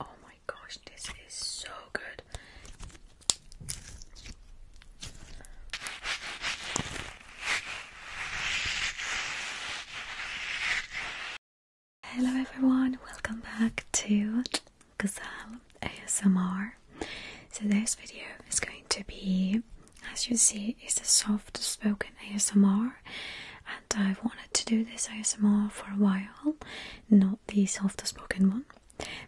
Oh my gosh, this is so good. Hello everyone, welcome back to Gazelle ASMR. So this video is going to be, as you see, it's a soft spoken ASMR and I've wanted to do this ASMR for a while, not the softer spoken one,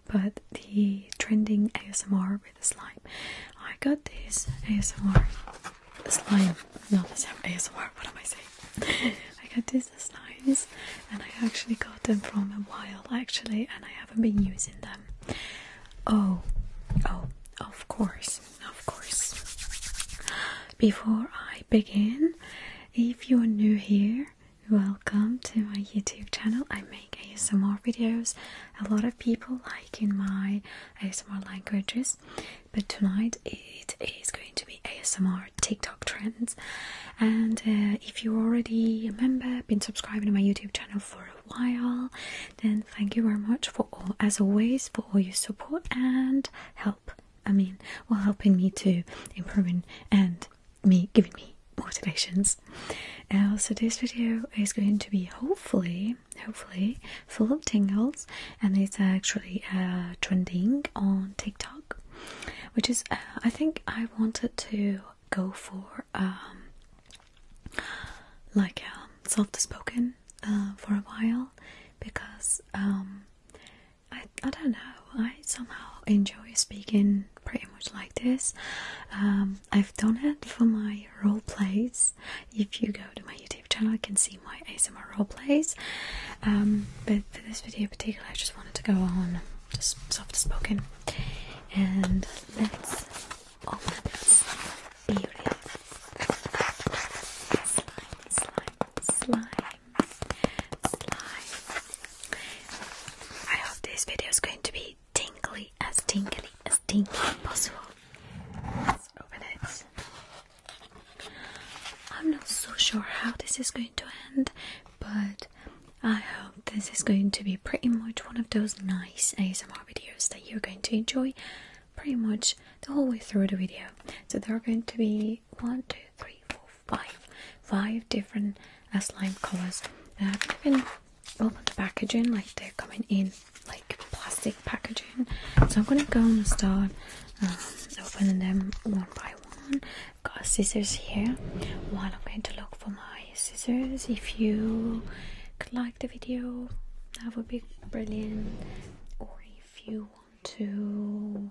but the trending ASMR with a slime. I got this ASMR slime, not the same ASMR, what am I saying? I got these slimes and I actually got them from a while actually and I haven't been using them. Oh, oh, of course. Of course. Before I begin, if you're new here, welcome to my YouTube channel. I make ASMR videos. A lot of people like in my ASMR languages, but tonight it is going to be ASMR TikTok trends. And uh, if you're already a member, been subscribing to my YouTube channel for a while, then thank you very much for all, as always, for all your support and help. I mean, while helping me to improve and me giving me motivations. Uh, so this video is going to be hopefully, hopefully full of tingles, and it's actually uh, trending on TikTok, which is uh, I think I wanted to go for um, like um, soft spoken for a while because um, I, I don't know, I somehow enjoy speaking pretty much like this. Um, I've done it for my role plays. If you go to my YouTube channel, you can see my ASMR role plays. Um, but for this video in particular, I just wanted to go on just soft spoken. And let all open oh this beauty slime, slime, slime, slime. I hope this video is going to be tingly, as tingly, as tingly possible. Let's open it. I'm not so sure how this is going to end, but I hope this is going to be pretty much one of those nice ASMR videos that you're going to enjoy pretty much the whole way through the video. So there are going to be one, two, three, four, five, five different slime colors that you even opened the packaging like they're coming in like plastic packaging. So I'm gonna go and start um, opening them one by one. Got scissors here. While I'm going to look for my scissors, if you like the video, that would be brilliant. Or if if you want to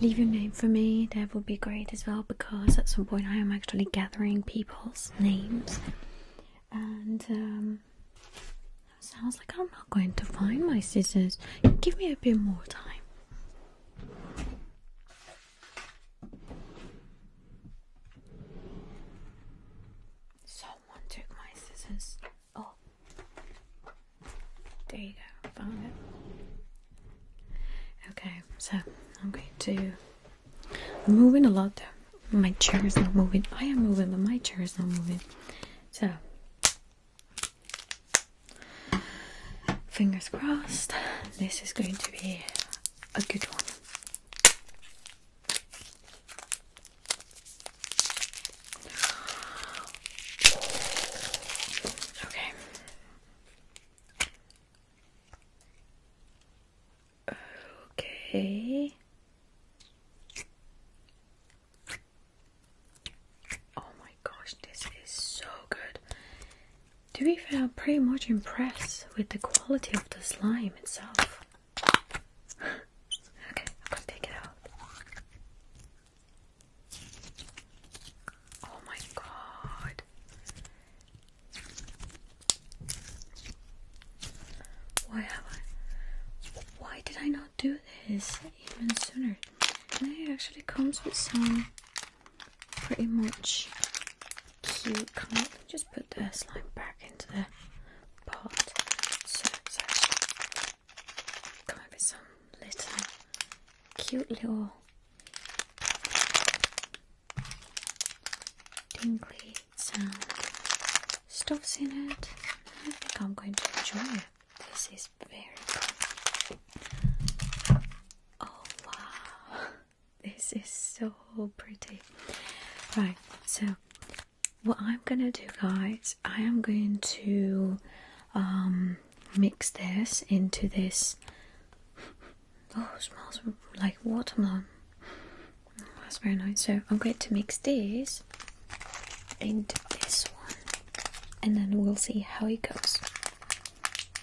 leave your name for me, that would be great as well because at some point I am actually gathering people's names. And um, sounds like I'm not going to find my scissors. Give me a bit more time. Someone took my scissors. Oh, there you go. Found it. Okay, so I'm going to. I'm moving a lot. My chair is not moving. I am moving, but my chair is not moving. So, fingers crossed. This is going to be a good one. Okay. Okay. Oh my gosh, this is so good. To be fair, pretty much impressed with the quality of the slime itself. Okay, I'll come take it out. Oh my god. Why have I why did I not do this even sooner? And it actually comes with some pretty much cute just put the slime back into there part. So it's actually come with some little cute little tingly sound stuffs in it. I think I'm going to enjoy it. This is very cool. Oh wow, this is so pretty. Right, so what I'm gonna do guys I am going to um, mix this into this oh smells like watermelon that's very nice so I'm going to mix this into this one and then we'll see how it goes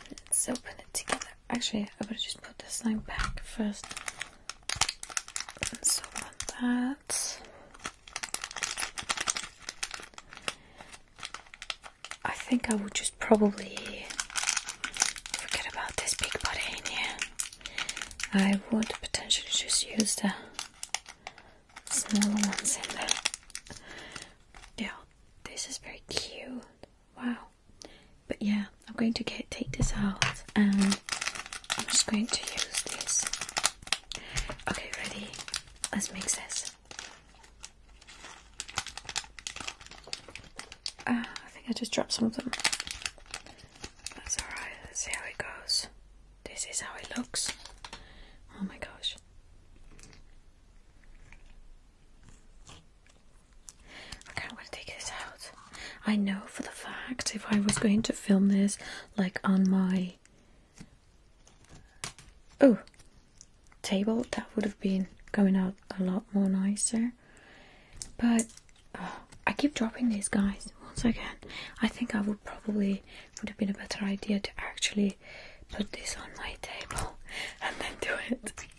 let's open it together actually I would just put the slime back first so on that. I think I would just probably forget about this big body in here. I would potentially just use the smaller ones in there. Yeah, this is very cute. Wow. But yeah, I'm going to get, take this out and I'm just going to use this. Okay, ready? Let's mix this. Ah, I think I just dropped some of them. That's alright, let's see how it goes. This is how it looks. Oh my gosh. Okay, I'm gonna take this out. I know for the fact if I was going to film this like on my oh table, that would have been going out a lot more nicer. But oh, I keep dropping these guys once again. I think I would probably would have been a better idea to actually put this on my table and then do it.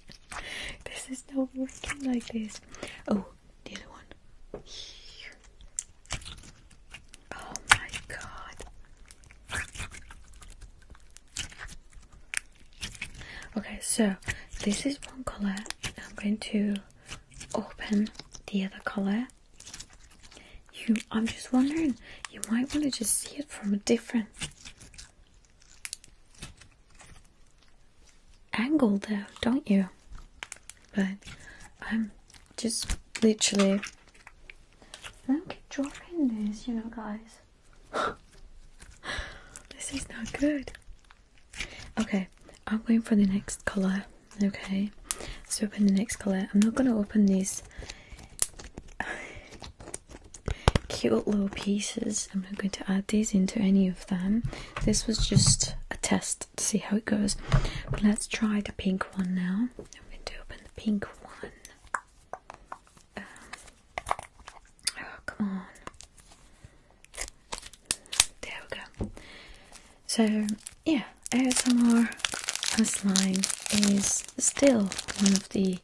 This is not working like this. Oh, the other one. Oh my god. Okay, so this is one color. I'm going to open the other color. You, I'm just wondering, you might want to just see it from a different angle though, don't you? But I'm just literally I don't keep dropping these, you know guys. this is not good. Okay, I'm going for the next colour. Okay. Let's open the next colour. I'm not gonna open these cute little pieces. I'm not going to add these into any of them. This was just a test to see how it goes. let's try the pink one now. I'm going to open the pink one. Um, oh, come on. There we go. So, yeah, ASMR slime is still one of the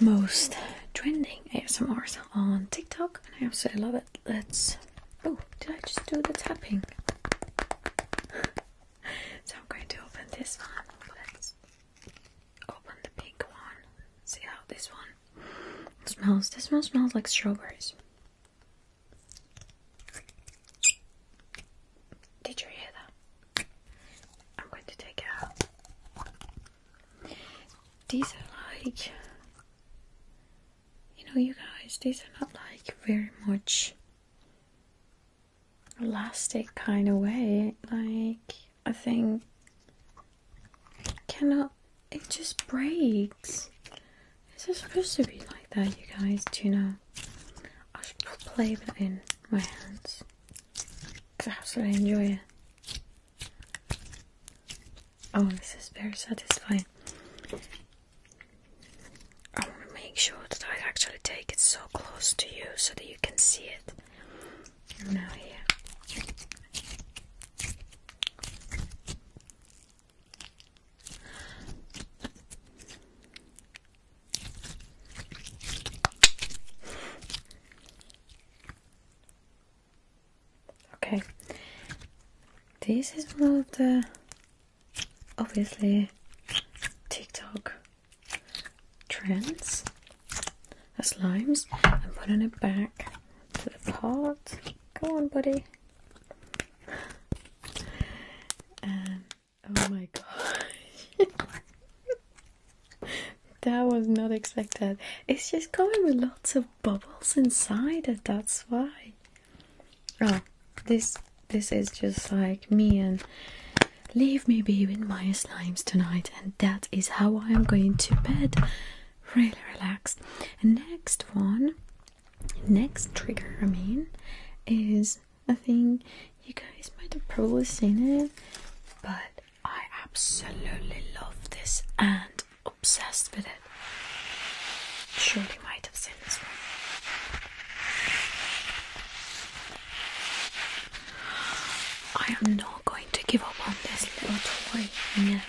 most trending ASMRs on TikTok, and I absolutely love it. Let's. Oh, did I just do the tapping? so I'm going to open this one. Let's open the pink one. See how this one smells. This one smells like strawberries. Did you hear that? I'm going to take out. These are like, you know, you guys, these are not like very much elastic kind of way. Like, I think cannot, it just breaks. Is it supposed to be like that, you guys? Do you know? I should play with it in my hands I absolutely enjoy it. Oh, this is very satisfying. I want to make sure that I actually take it so close to you so that you can see it. Now here. Okay, this is one of the obviously TikTok trends as slimes. I'm putting it back to the pot. Come on, buddy. Um, oh my gosh that was not expected. It's just coming with lots of bubbles inside it, that's why. Oh, this this is just like me and leave me be with my slimes tonight and that is how I am going to bed. Really relaxed. And next one next trigger I mean is I think you guys might have probably seen it but I absolutely love this and obsessed with it. Surely might have seen this one. I am not going to give up on this little toy, never.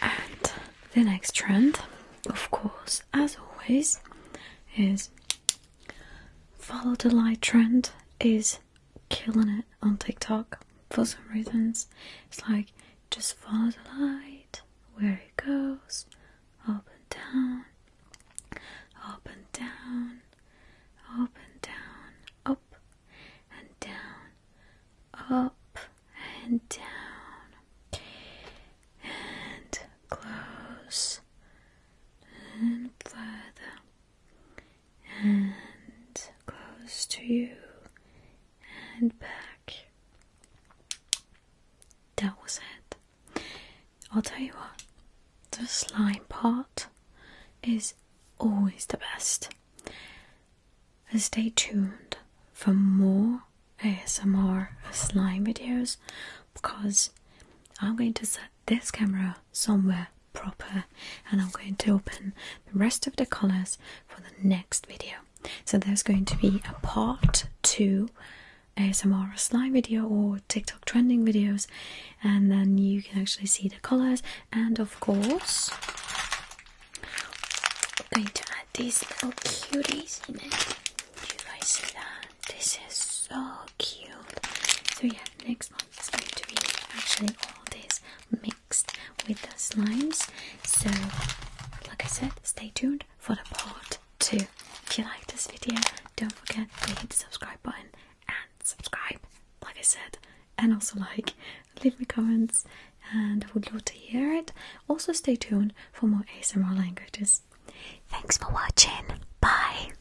And the next trend, of course, as always, is follow the light trend is killing it on TikTok for some reasons. It's like just follow the light where it goes. Up and down, up and down, up and down, up and down, up and down, and close and further and close to you and back. That was it. I'll tell you what, the slime part is always the best. Stay tuned for more ASMR slime videos because I'm going to set this camera somewhere proper and I'm going to open the rest of the colors for the next video. So there's going to be a part two ASMR slime video or TikTok trending videos and then you can actually see the colors and of course I'm going to add these little cuties in it. Do you see that? This is so cute. So yeah, next month is going to be actually all this mixed with the slimes. So, like I said, stay tuned for the part two. If you like this video, don't forget to hit the subscribe button and subscribe, like I said, and also like, leave me comments, and I would love to hear it. Also, stay tuned for more ASMR languages. Thanks for watching. Bye.